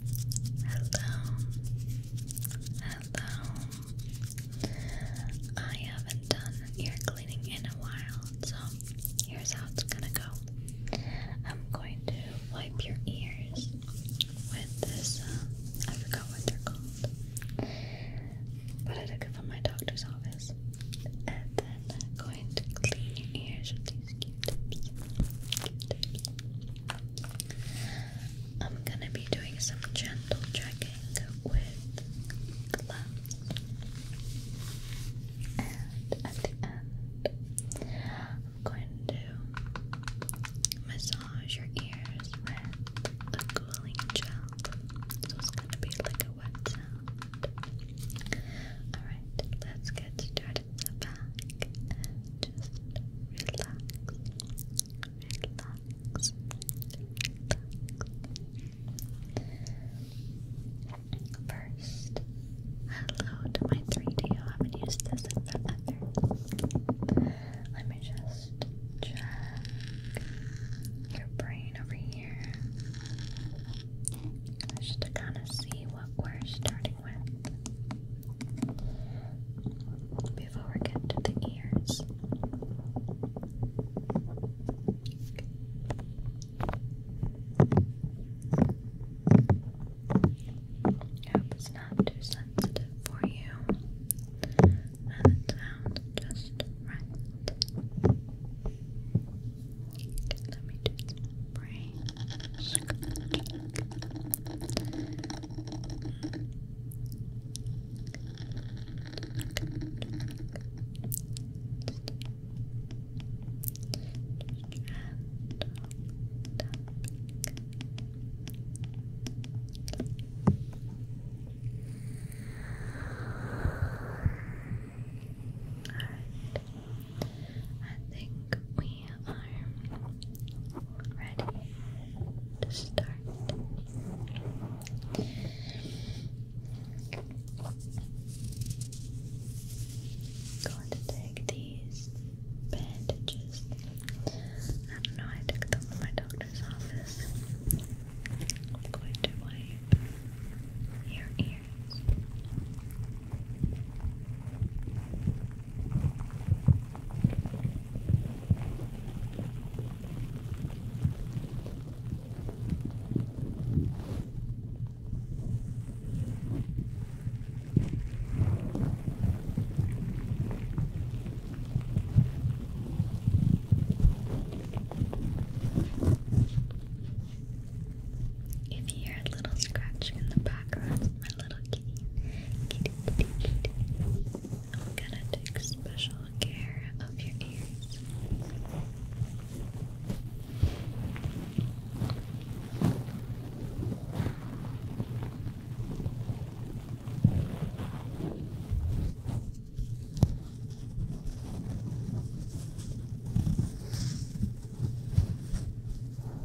Hello, hello. I haven't done ear cleaning in a while, so here's how it's gonna go. I'm going to wipe your ears with this, um, I forgot what they're called, but I took it from my doctor's office. And then I'm going to clean your ears with these q tips I'm gonna be doing some gentle checking with gloves, and at the end, I'm going to massage your ears with the cooling gel. So it's gonna be like a wet sound. Alright, let's get started in the back just relax, relax, relax. First, hello to my 3D. I haven't used this in forever. Let me just check your brain over here. Just to kind of see what we're starting before we get to the ears. I hope it's not too sensitive for you. And it sounds just right. let me just spray I think we are arm ready to start. Going to take these bandages. I know, I took them from my doctor's office. I'm going to wipe your ears. If you hear a little scratching in the background, my little I'm gonna take special care of your ears.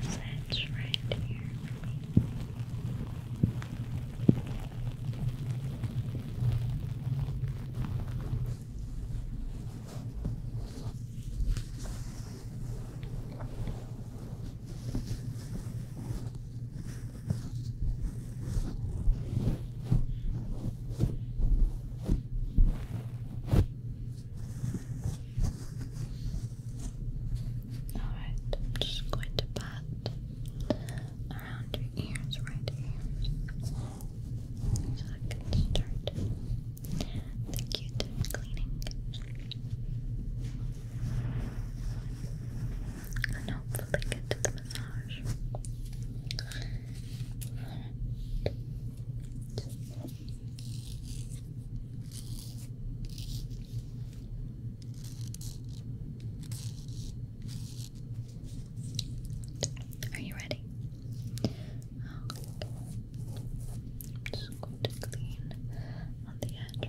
This edge right here. Alright, i just going to pat around your ears, right ears. So I can start the q cleaning. And hopefully get to the massage. Are you ready? just going to clean on the edge.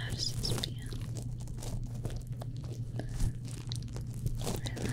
How does this feel? Relax. Good. Good.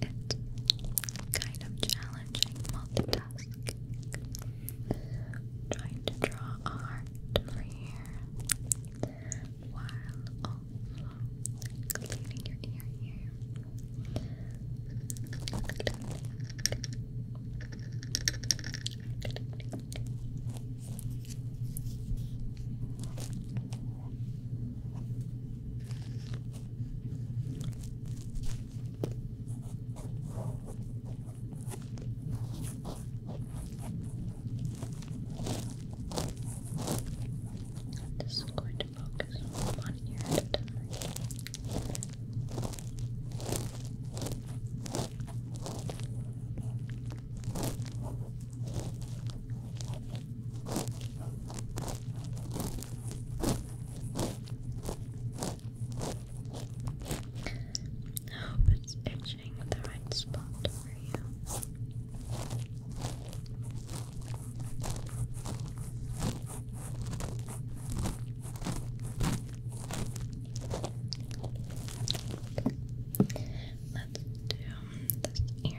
It's kind of challenging multitasking. Trying to draw art over here while also cleaning your ear here. This is going to focus on one ear I hope it's itching the right spot for you. Let's do this ear.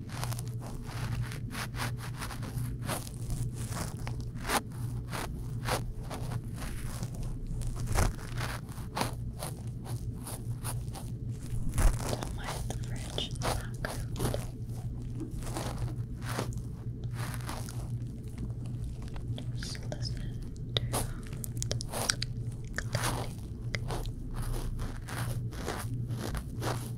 Don't mind the fridge in the background. Just listen to the click.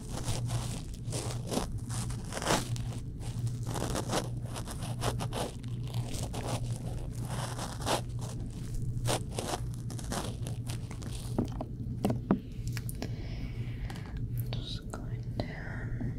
I'm just going to check.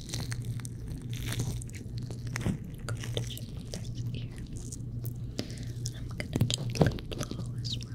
I'm going to check this ear. And I'm going to gently blow as well.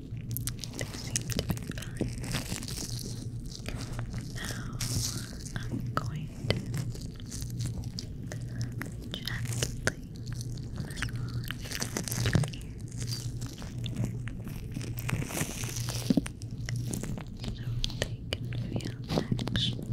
They seem Now I'm going to gently massage your ears so they can feel extra relaxed and stressed.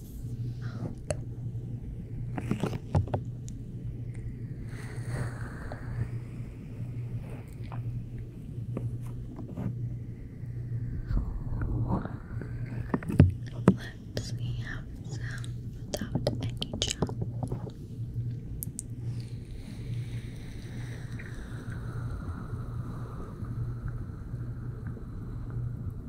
Let's have some without any gel.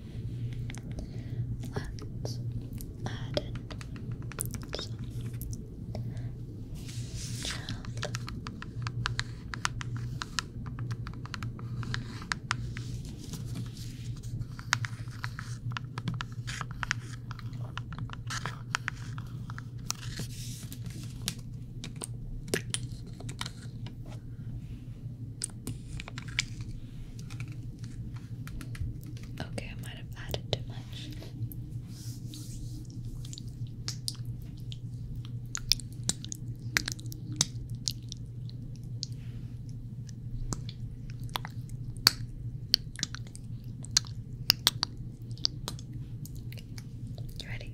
Let's add in some gel. Okay, I might have added too much. You ready?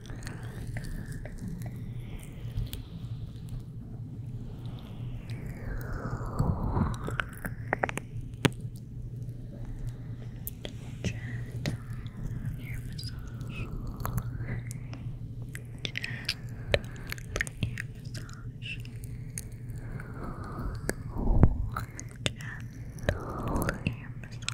Gentle ear massage. Gentle ear massage. Gentle ear massage.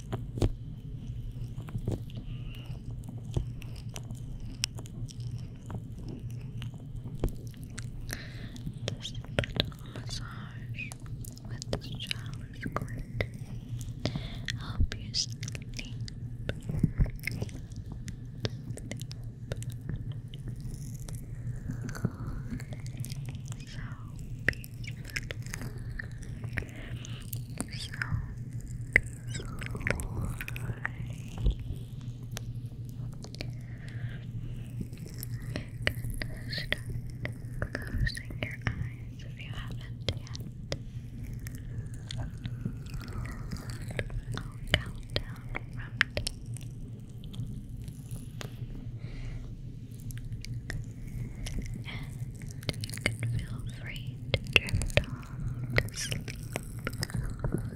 Just little massage with the shower's going help you sleep. So so you can closing your eyes if you haven't yet. I'll count down from ten. And you can feel free to drift off to sleep. Alright. Done.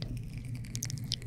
Nine. Eight.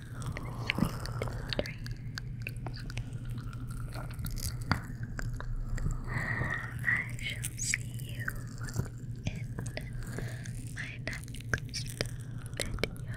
I shall see you in my next video.